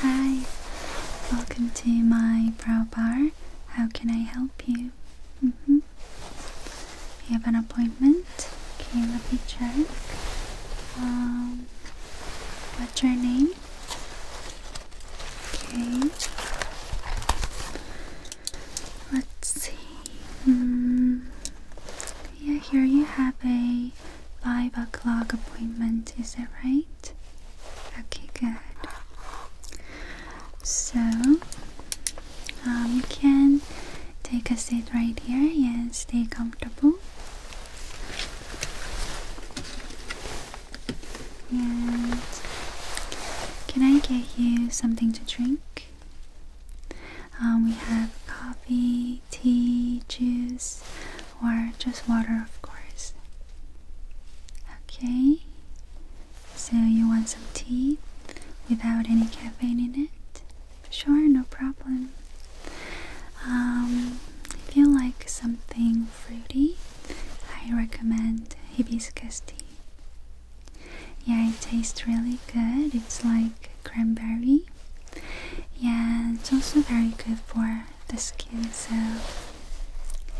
Hi, welcome to my brow bar. How can I help you? Mm mm-hmm. You have an appointment? Okay, let me check. Um, what's your name? Okay. Let's see. Hmm. Yeah, here you have a five o'clock appointment. Is that right? Okay, good. So um, you can take a seat right here and stay comfortable. And can I get you something to drink? Um, we have coffee, tea, juice, or just water, of course. Okay, so you want some tea without any caffeine in it? Sure, no problem. Um, if you like something fruity, I recommend hibiscus tea. Yeah, it tastes really good. It's like cranberry. Yeah, it's also very good for the skin, so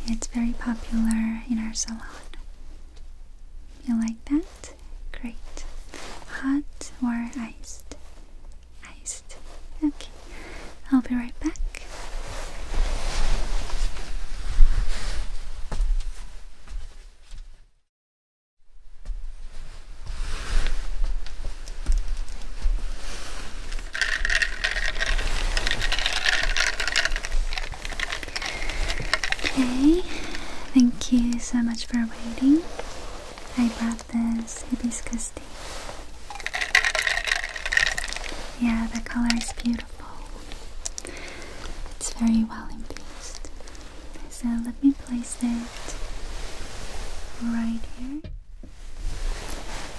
it's very popular in our salon. You like that? Great. Hot or iced? Iced. Okay, I'll be right back. Okay, thank you so much for waiting. I brought this hibiscus tea. Yeah, the color is beautiful. It's very well in infused. So let me place it right here,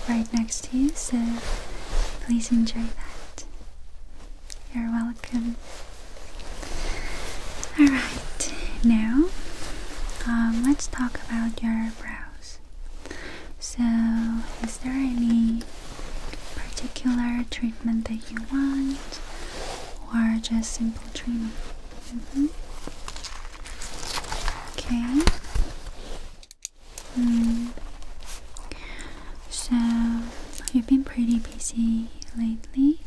right next to you. So please enjoy that. You're welcome. Alright, now um, let's talk about your brows. So, is there any particular treatment that you want, or just simple? Mm-hmm. Okay. Mm. So you've been pretty busy lately,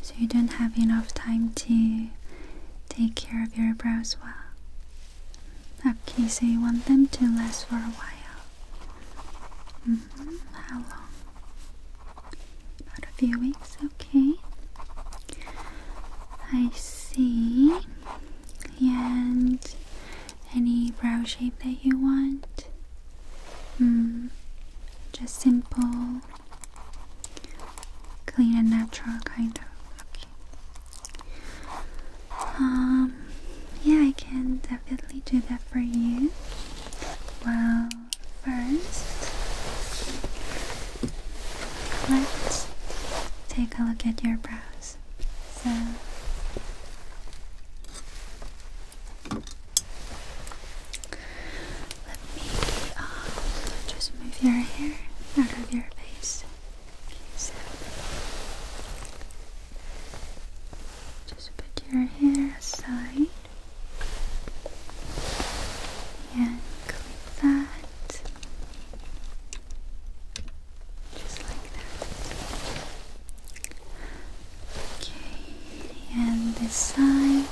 so you don't have enough time to take care of your brows well. Okay, so you want them to last for a while. Mm-hmm. How long? About a few weeks, okay. I see. And any brow shape that you want? Hmm. Just simple, clean and natural kind of. Okay. Um. Yeah, I can definitely do that for you. Well, first, let's take a look at your brows. So, let me um, just move your hair out of your face. so just put your hair aside. And that. Just like that. Okay, and this side.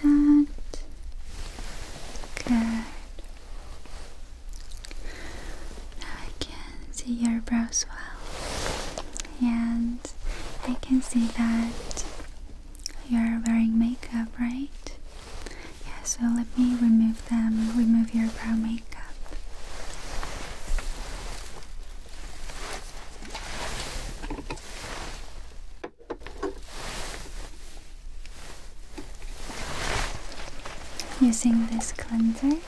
Click that. Good. Now I can see your brows well, and I can see that you're wearing makeup, right? Yeah, so let me remove them, remove your brow makeup using this cleanser.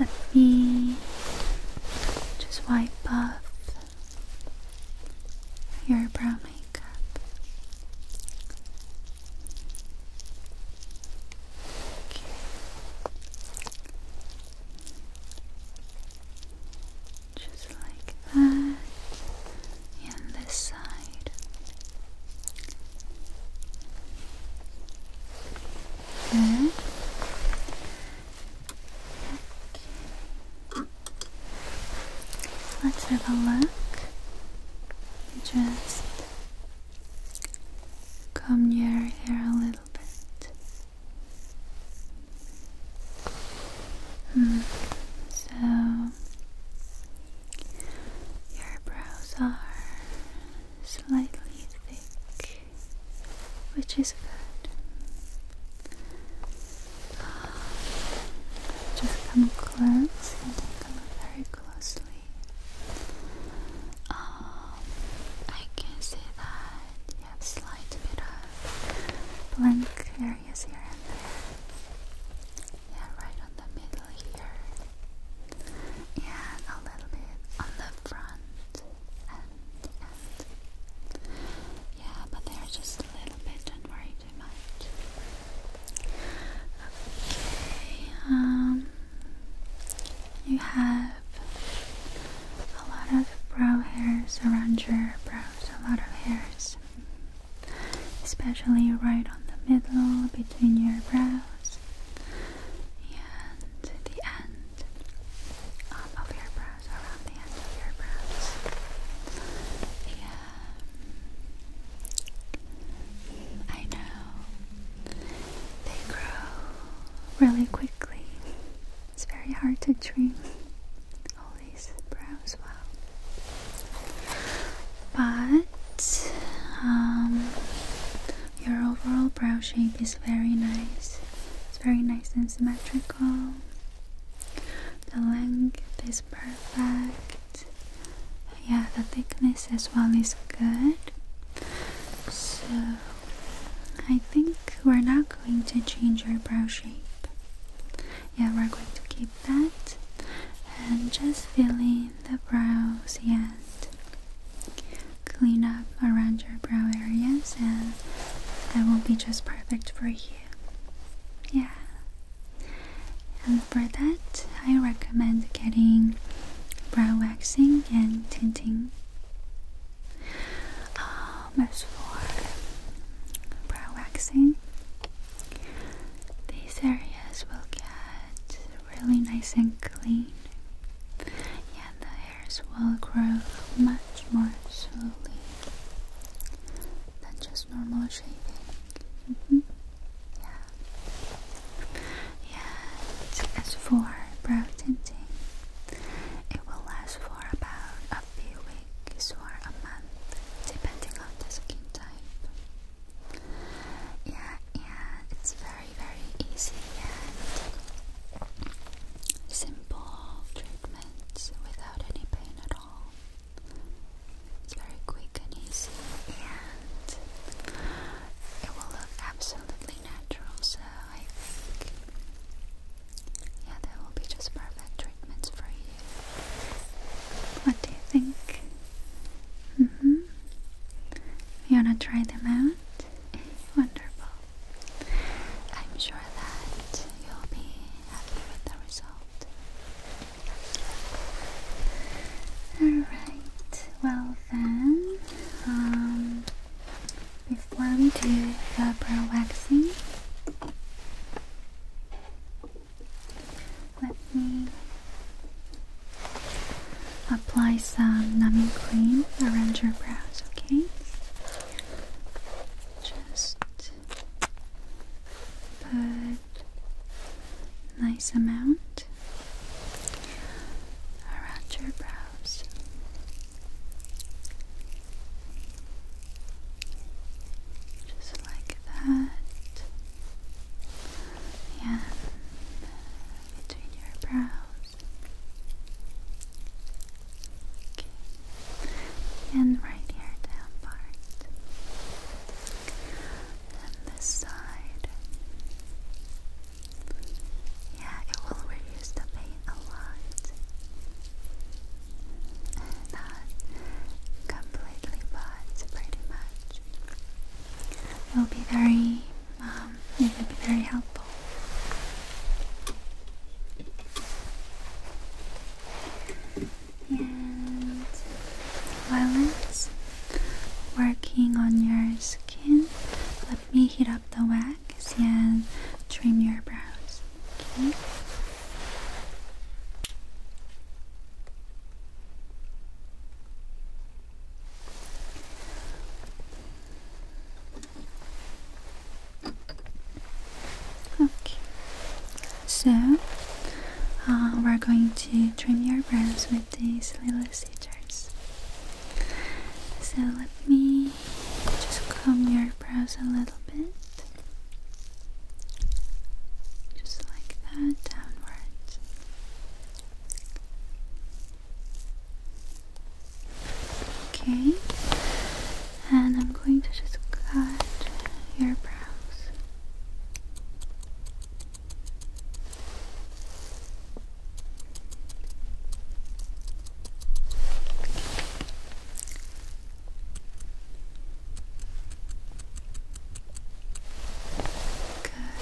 Let me just wipe off your brown makeup. Just like that. And this side. Good. Let's have a look. Just come near here a little so your brows are slightly thick, which is good. Just come close and look very closely. Um, I can see that you have slight bit of blank areas here and there. Yeah, right on the middle here. And a little bit on the front and Yeah, but they're just a little bit, don't worry too much. Okay, um you have a lot of brow hairs around your brows, a lot of hairs, especially right on the middle between your brows and the end of your brows, around the end of your brows. Yeah. I know they grow really quickly. It's very hard to trim all these brows well. But um, your overall brow shape is very nice. It's very nice and symmetrical. The length is perfect. Yeah, the thickness as well is good. So, I think we're not going to change our brow shape. Yeah, we're going to keep that and just fill in the brows and clean up around your brow areas, and that will be just perfect for you. Yeah. And for that, I recommend getting brow waxing and tinting um, as for brow waxing, these areas will get really nice and clean, and the hairs will grow much more slowly than just normal shaving. Mm-hmm. Yeah. And as for brow tinting, it will last for about a few weeks or a month, depending on the skin type. Yeah, and it's very, very easy and simple treatments without any pain at all. It's very quick and easy, and it will look absolutely natural. So yeah, that will be just perfect treatments for you. What do you think? Mm hmm. You wanna try them out? Wonderful. I'm sure that you'll be happy with the result. Alright, well then, um, before we do the brow waxing, let me apply some numbing cream around your brows, okay? Just put nice amount around your brows eyebrows. Just like that. Yeah, between your brows. Okay. And right here down part. And this side. Yeah, it will reduce the pain a lot. Not completely, but pretty much. will be very, um, it will be very helpful. And while it's working on your skin, let me heat up the wax relax trim your brows. Okay. Okay. So uh, we're going to trim your brows with these little scissors. So let me just comb your brows a little bit. Just like that, downwards. Okay. And I'm going to just cut your brows.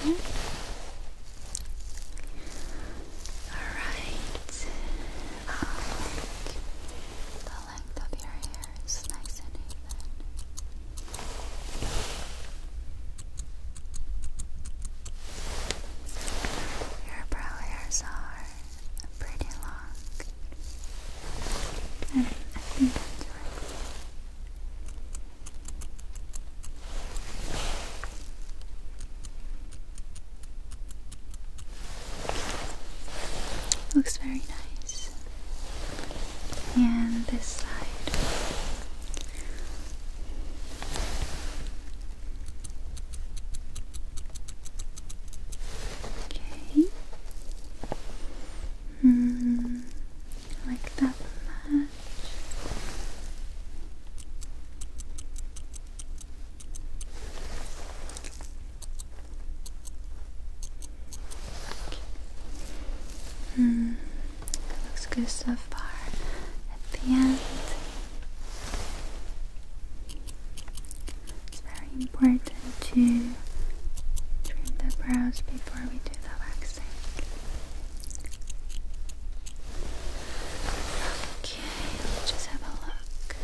Good. All right. the length of your hair is nice and even. Your brow are pretty long. And I think that's Looks very nice. And this side. Okay. Hmm. Like that much. Okay. Hmm. Looks good so far. At the end, it's very important to trim the brows before we do the waxing. Okay, let's just have a look.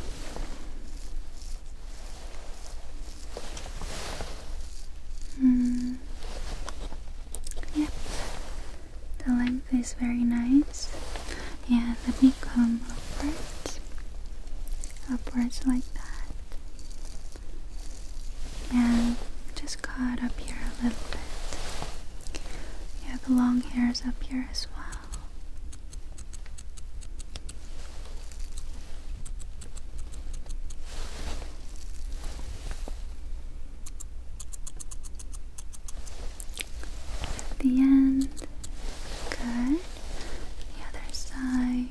Hmm. Yep. The length is very nice. And let me come upwards. Upwards like that. And just cut up here a little bit. You have long hairs up here as well the end. Good. The other side.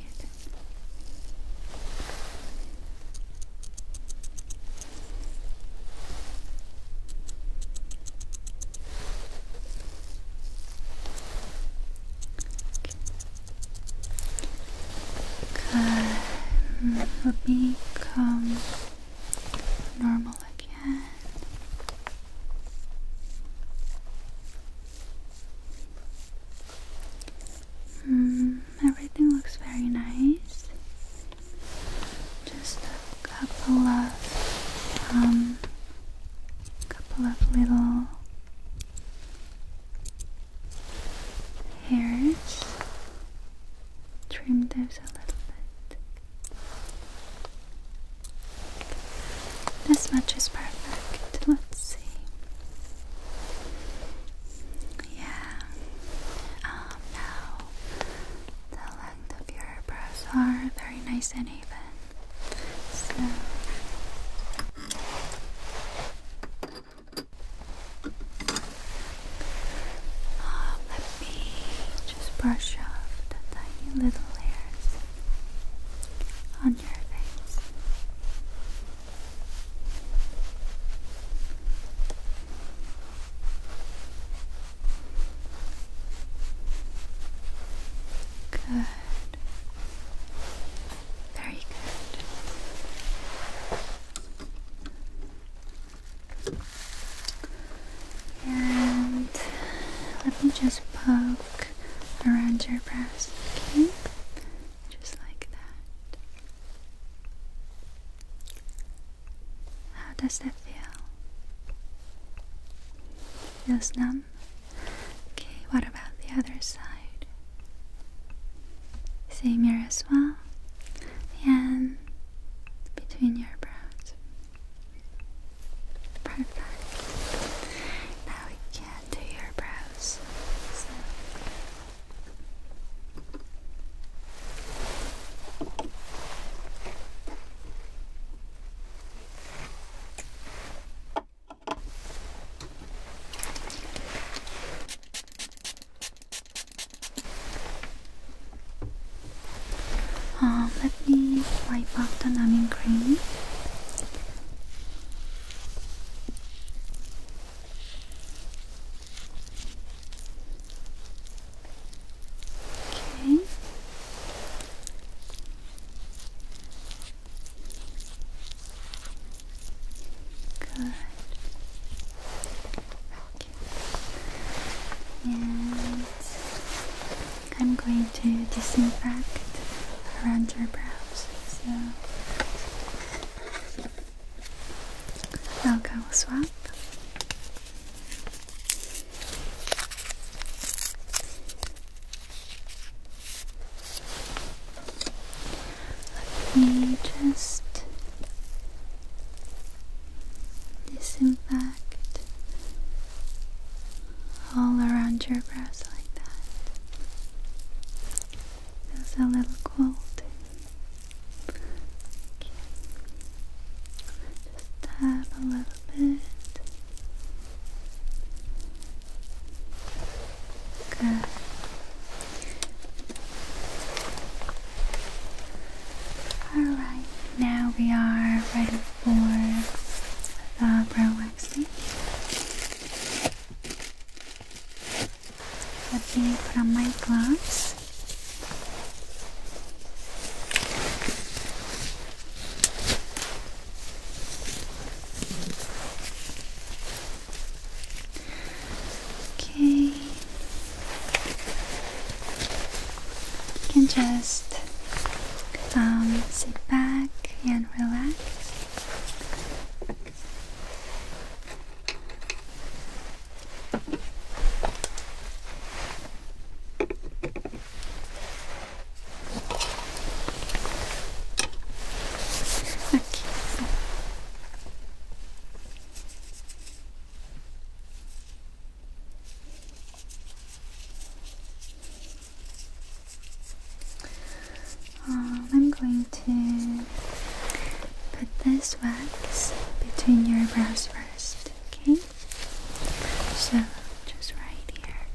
Good. Mm, let normal again. Mm, everything looks very nice. Just a couple of um couple of little hairs. Trim those a little bit. This much is perfect. Let's see. Yeah. Um, now the length of your brows are very nice and even. So um, just brush off the tiny little hairs on your face. Good. Very good. And let me just poke around your breast, okay? Just like that. How does that feel? Feels numb? Okay, what about the other side? Same here as well. And between your breasts. Perfect. Now we can do your brows. Um, let me wipe off the numbing cream. Okay. Good. Okay. And I'm going to disinfect around your brows. So I'll go swap. Let me just disinfect all around your brows like that. Feels a little cold. Just tap a little bit. Good. All right, now we are ready for the brow waxing let me put on my gloves Okay, you can just um, sit back and relax. Okay. Um, I'm going to put this wax between your brows first, okay? So just right here.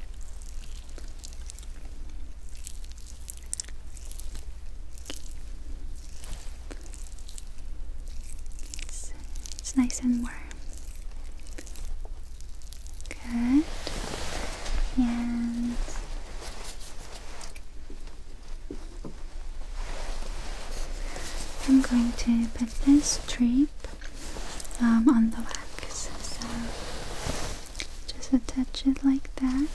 It's, it's nice and warm. Good. And I'm going to put this strip um, on the wax. So just attach it like that.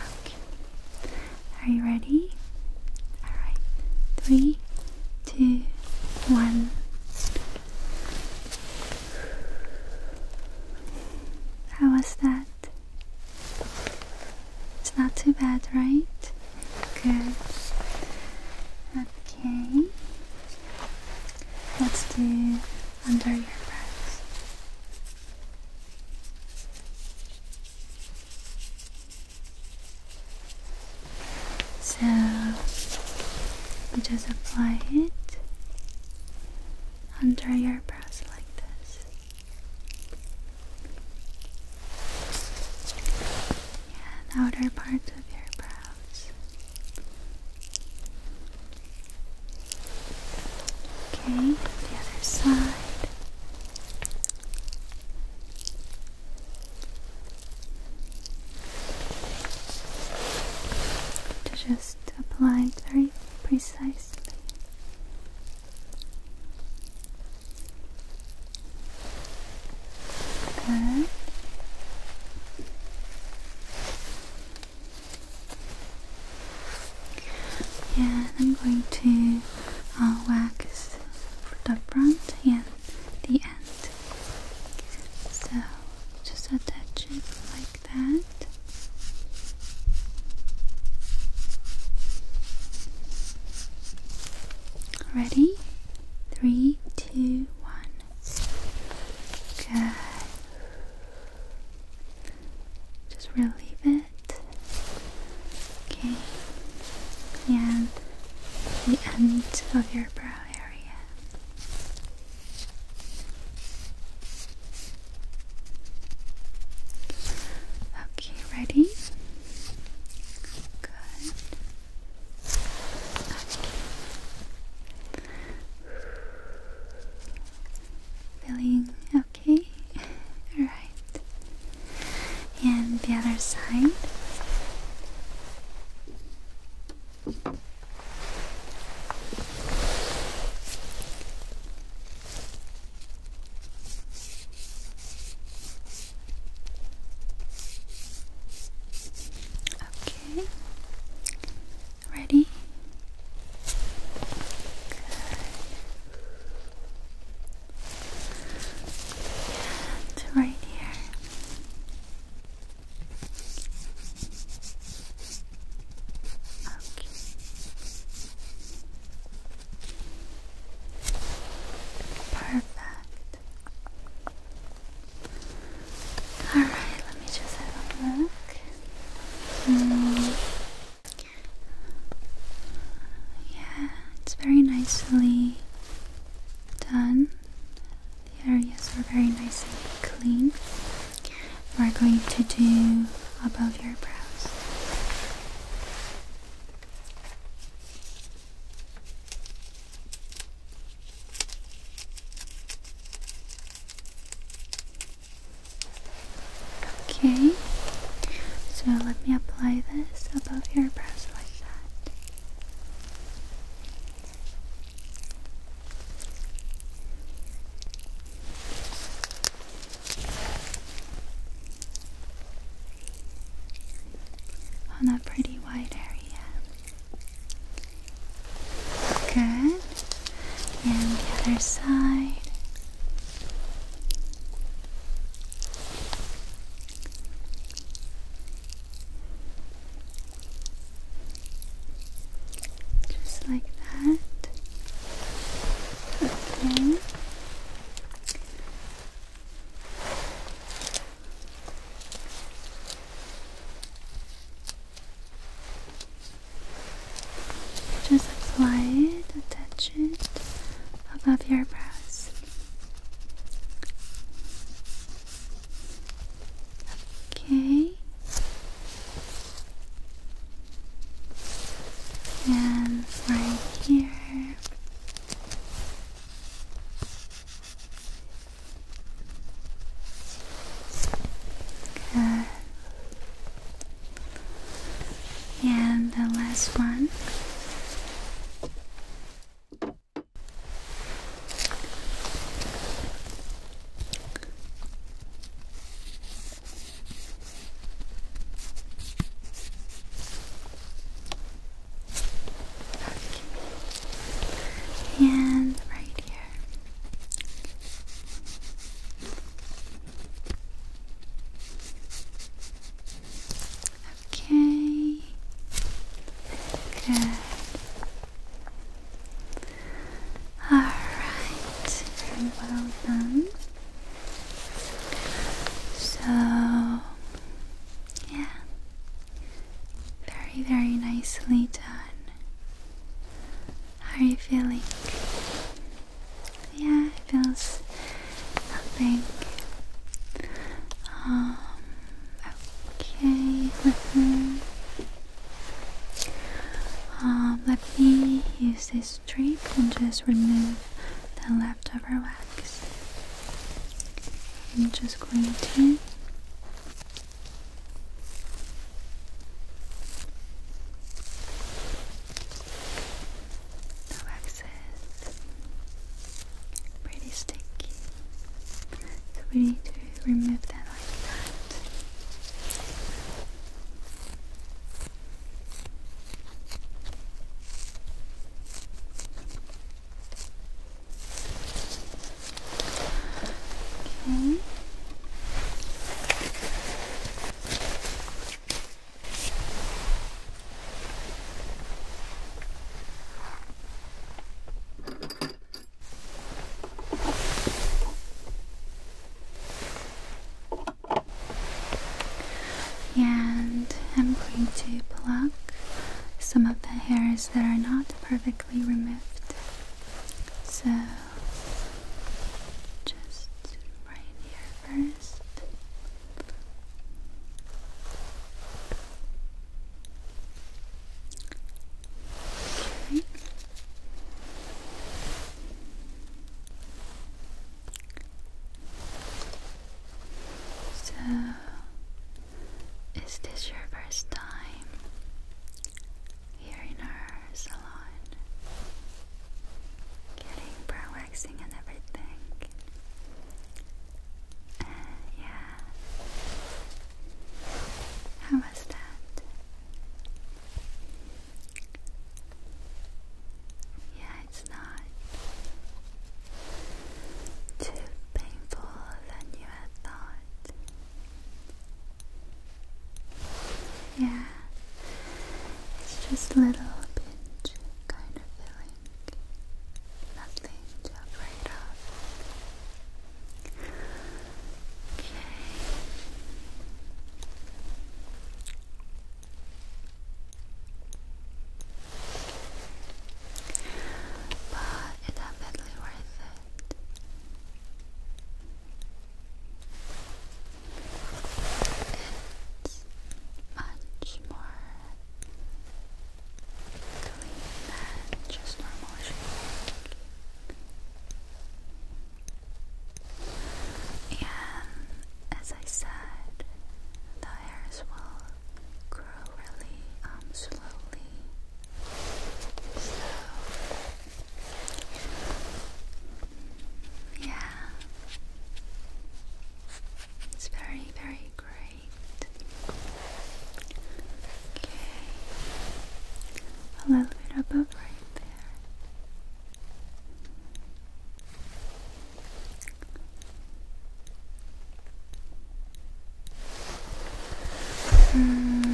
Okay. Are you ready? Alright. Three, two, one. How was that? It's not too bad, right? Good. Okay. Let's do under your breath. So you just apply it under your brows like this. And outer parts of your brows. Okay, the other side. To just apply very precisely. Good. Yeah, I'm going to uh, wax the front and the end. So just attach it like that. Ready? Three, two, one. Good just relieve it. Okay, and the end of your brow area. Okay, ready? Good. Okay. Feeling okay? Alright. And the other side. Okay. Ready? Good. right here. Okay. Perfect. Alright, let me just have a look. Mm. Yeah, it's very nicely done. The areas are very nice and clean. We're going to do above your brows. Okay, so let me apply this above your brows like that. On that pretty wide area. Okay and the other side. Just like that. Okay. Just apply it, attach it above your brows. Okay. And right here. Okay. And the last one. And right here. Okay. Good. All right. Very well done. So, yeah. Very, very nicely done. How are you feeling? Yeah, it feels nothing. Um, okay, with me. Um, let me use this strip and just remove the leftover wax. I'm just going to. No excess. Pretty sticky. So we need to remove that like that. Okay. And I'm going to pluck some of the hairs that are not perfectly removed. So just right here first. Okay. So, is this your first time here in our salon? getting brow waxing and everything. Uh, yeah. How was that? Yeah, it's not too painful than you had thought. Yeah, it's just a little pinch kind of feeling. Nothing to afraid of. Okay. But it's definitely worth it. It's much more clean than just normal shading. And as I said, the hairs will grow really um slowly. So yeah. It's very, very great. Okay. A little bit above right there. Mm.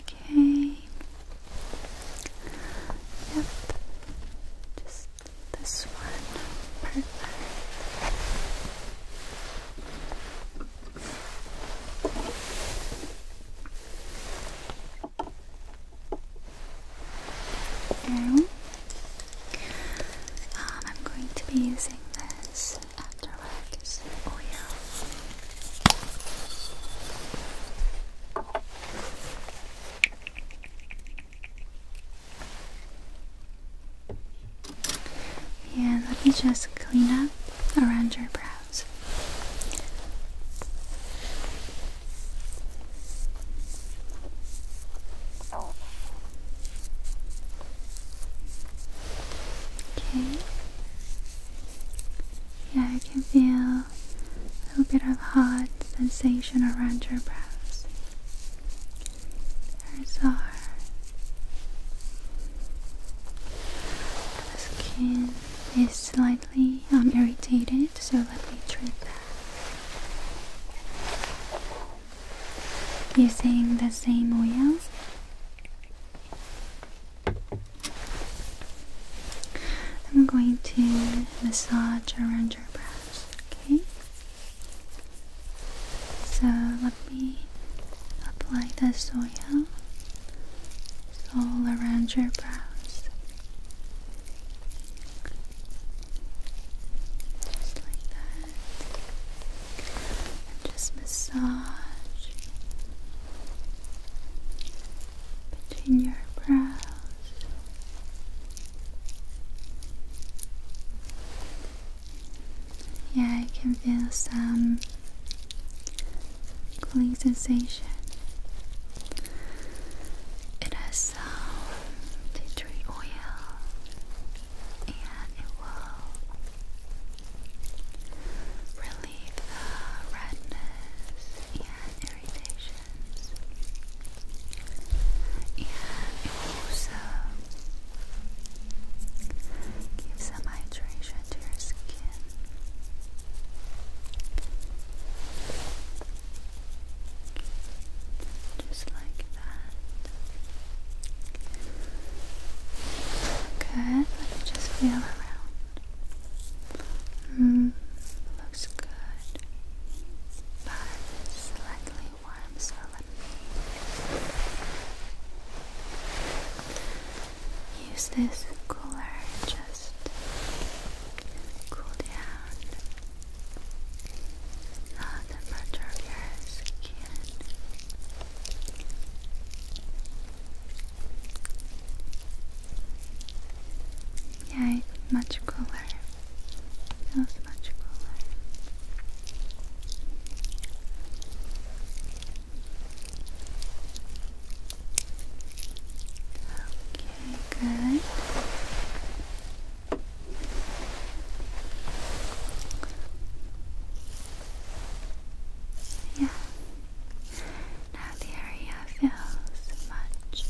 Okay. Yep. Just this one. Perfect. Now, um, I'm going to be using this Afterwax oil. And let me just clean up around your brows. Okay. Yeah, I can feel a little bit of hot sensation around your brows. There's our skin is slightly um, irritated, so let me treat that using the same oil. I'm going to massage around your brows, okay? So let me apply this oil all around your brows. Just like that. just massage between your brows. Yeah, I can feel some cooling sensation. It has some tea tree oil and it will relieve the uh, redness and irritations. And also gives some hydration to your skin. Just like that. Good. Let me just feel around. Mm, looks good. But slightly warm, so let me use this cooler just cool down the temperature of your skin. Yeah, much cooler. It feels much cooler. Okay, good. Yeah, now the area feels much,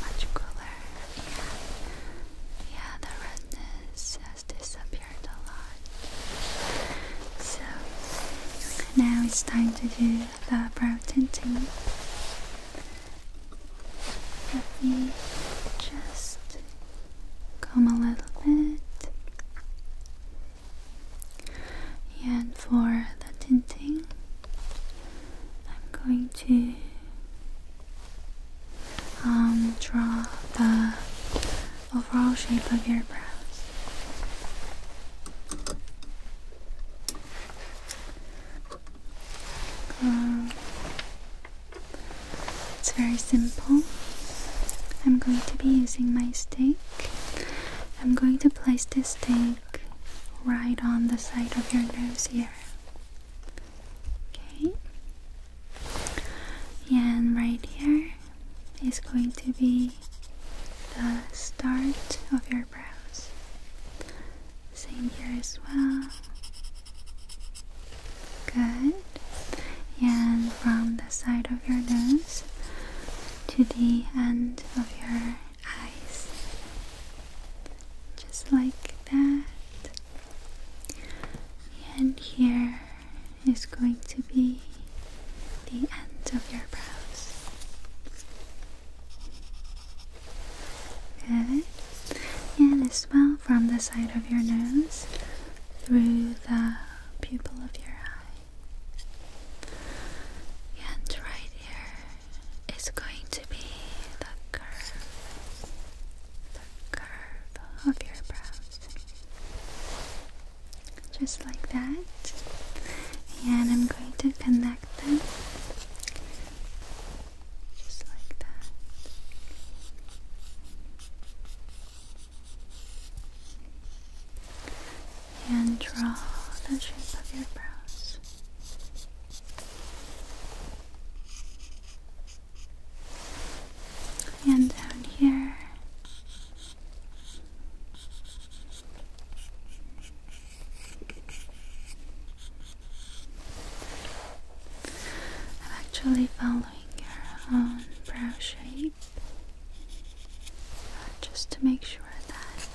much cooler yeah, the redness has disappeared a lot. So now it's time to do the brow tinting. Let me just comb a little bit and for the tinting I'm going to um, draw the overall shape of your brows um, it's very simple. I'm going to be using my stick I'm going to place this thing right on the side of your nose here. Okay. And right here is going to be the start of your brows. Same here as well. Good. And from the side of your nose, to the end of your eyes, just like that. And here is going to be the end of your brows. And as well from the side of your nose through the pupil of your eye. And right here is going to be the curve, the curve of your brows. Just like that. And I'm going to connect them. Just like that and draw the shape of your brows. And down here. I'm actually following your own brow shape just to make sure that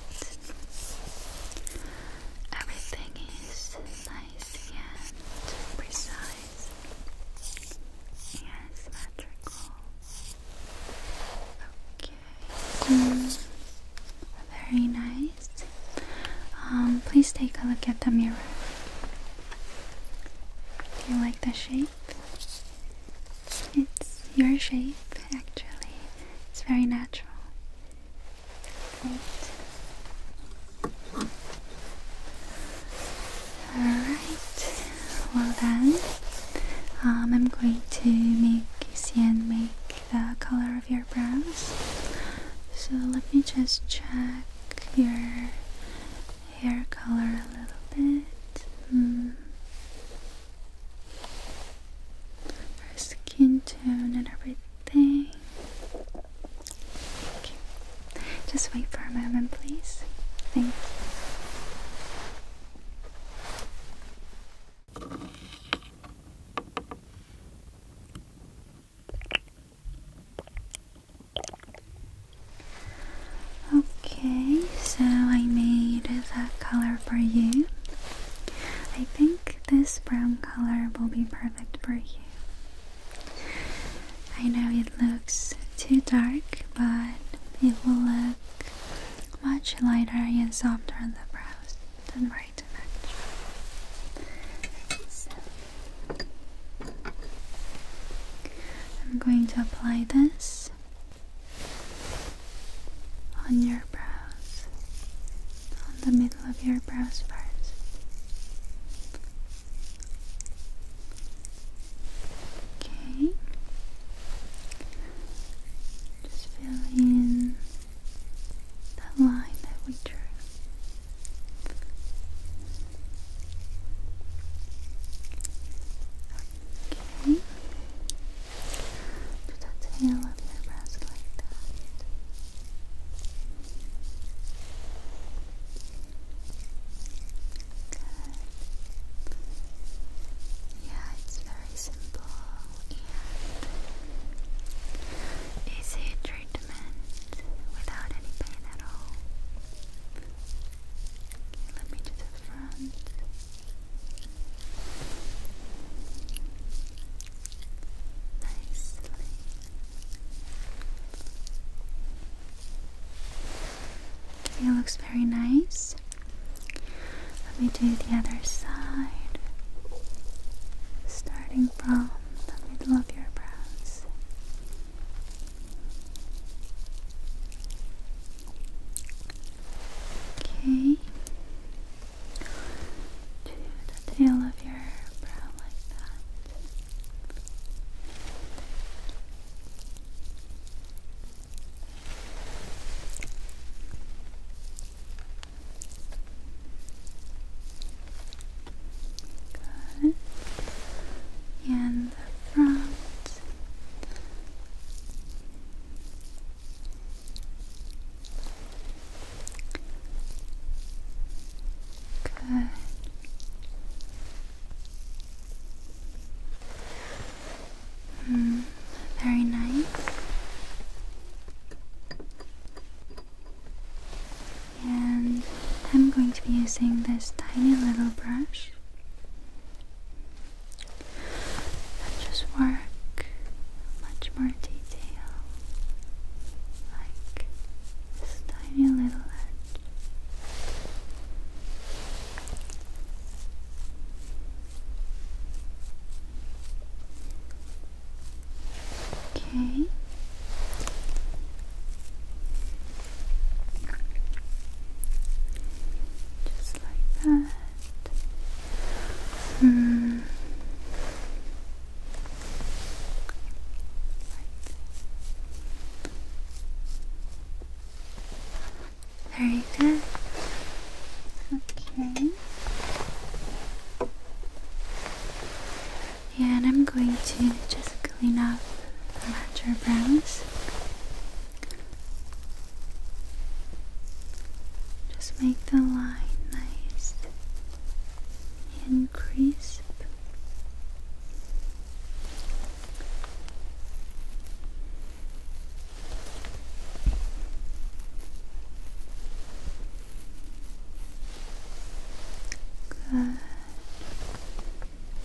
everything is nice and precise and symmetrical. Okay. Very nice. Um, please take a look at the mirror. Do you like the shape? It's your shape, actually. It's very natural. Alright, well then, um, I'm going to make Sian make the color of your brows. So let me just check your hair color a little bit. Hmm our skin tone and everything. Just wait for a moment, please. Thanks. Okay, so I made that color for you. I think this brown color will be perfect for you. I know it looks too dark, but it will look much lighter and softer on the brows. than not worry too I'm going to apply this on your brows, on the middle of your brows first. Okay. Just fill in that line that we drew. Okay. To the tail of your breast like that. Yeah, it's very simple and easy treatment without any pain at all. let me do the front it looks very nice. Let me do the other side, starting from the middle of your brows. Okay. To the tail of your brow like that. Good. And the front. Good. Mm, very nice. And I'm going to be using this tiny little brush and just work much more detail like this tiny little edge. Okay. Just like that. Hmm. Very good. Okay. Yeah, And I'm going to just clean up a the matcha brows just make the line nice increase. Good.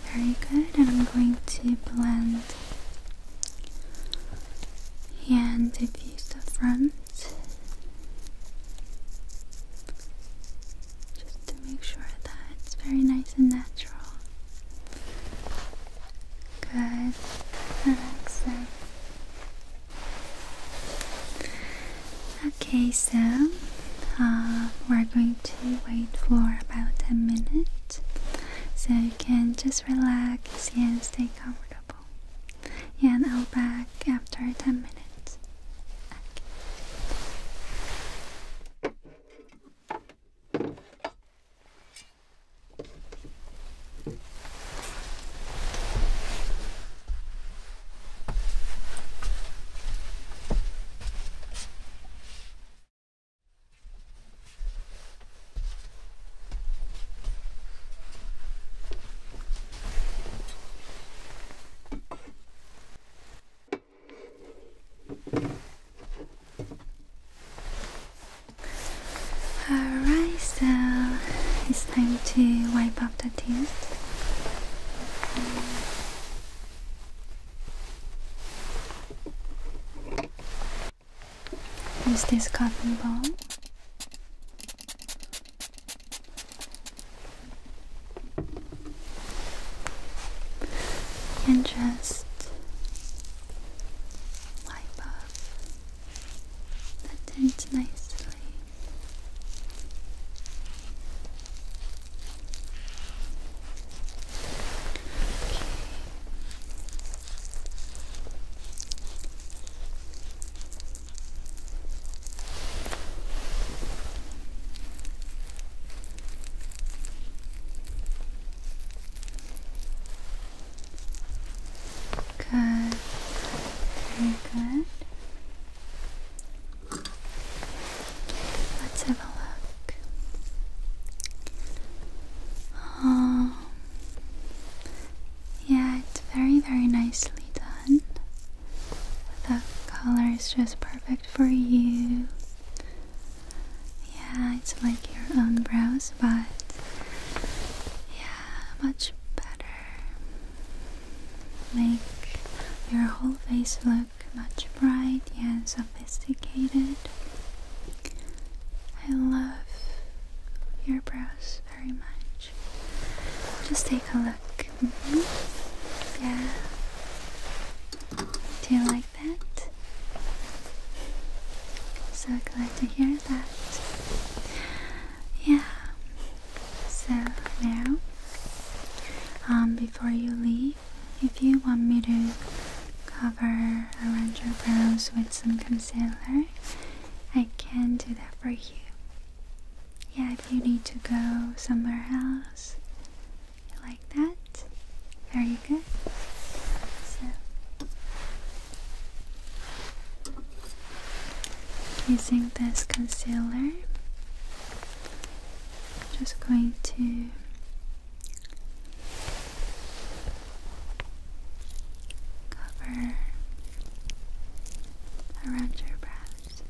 Very good. And I'm going to blend and it is the front just to make sure that it's very nice and natural. Good. Excellent. Okay, so uh, we're going to wait for about a minute so you can just relax and stay calm. Yeah, and I'll back after 10 minutes. Alright, so it's time to wipe up the teeth. Use this cotton ball. And just wipe off the tint nicely. Good. Very good. Let's have a look. Oh, yeah, it's very, very nicely done. The color is just perfect for you. Yeah, it's like your own brows, but yeah, much better. Make your whole face look much bright yeah, sophisticated. I love your brows very much. Just take a look. Mm-hmm. Yeah. Do you like that? So glad to hear that. Yeah. So now, um, before you leave, if you want me to cover around your brows with some concealer, I can do that for you. Yeah, if you need to go somewhere else, like that. Very good. So, using this concealer, just going to cover around your breast.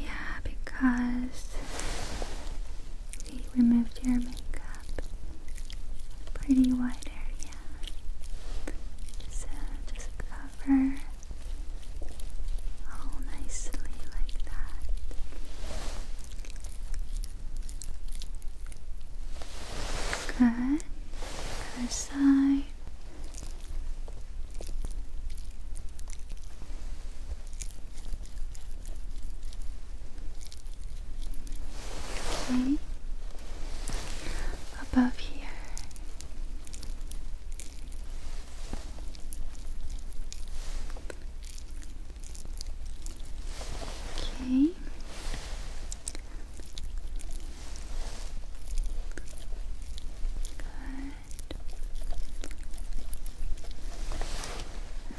Yeah, because we removed your makeup. Pretty wide area. So just cover all oh, nicely like that. Good. Other side. Okay. Above here. Okay. Good.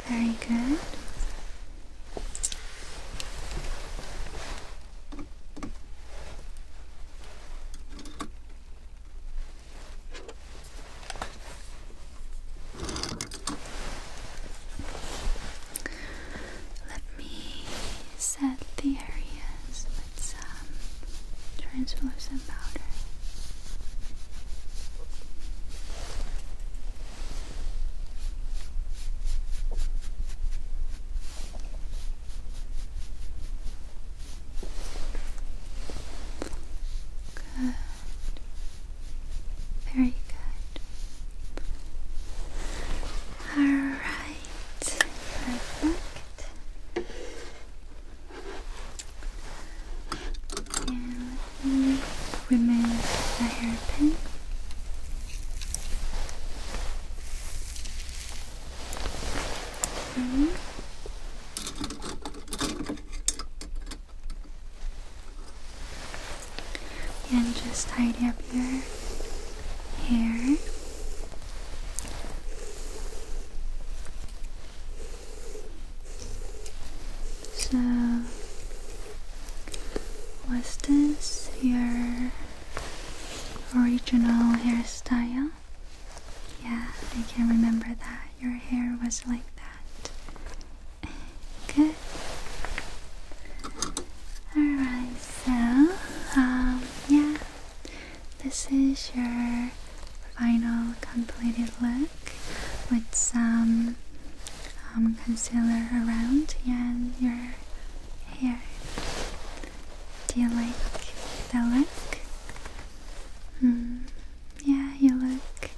Very good. Let me set the areas with some translucent powder. Good. Very good. Alright. Perfect. And let me remove the hairpin. Okay. And just tidy up your hair. So, was this your original hairstyle? Yeah, I can remember that your hair was like that. Good. Alright, so, um, yeah, this is your final completed look with some um, concealer around and your hair. Do you like the look? Hmm. Yeah, you look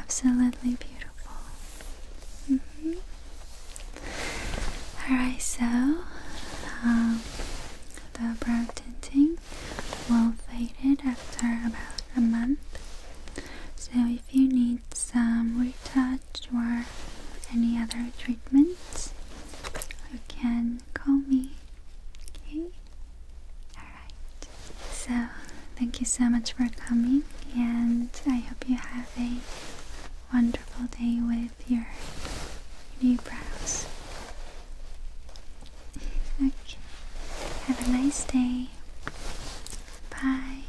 absolutely beautiful. Mm -hmm. Alright, so um, the brow tinting will fade it after about a month. So if you need some retouch or any other treatments, you can call me. Okay? Alright, so thank you so much for coming, and I hope you have a wonderful day with your new brows. okay, have a nice day. Bye.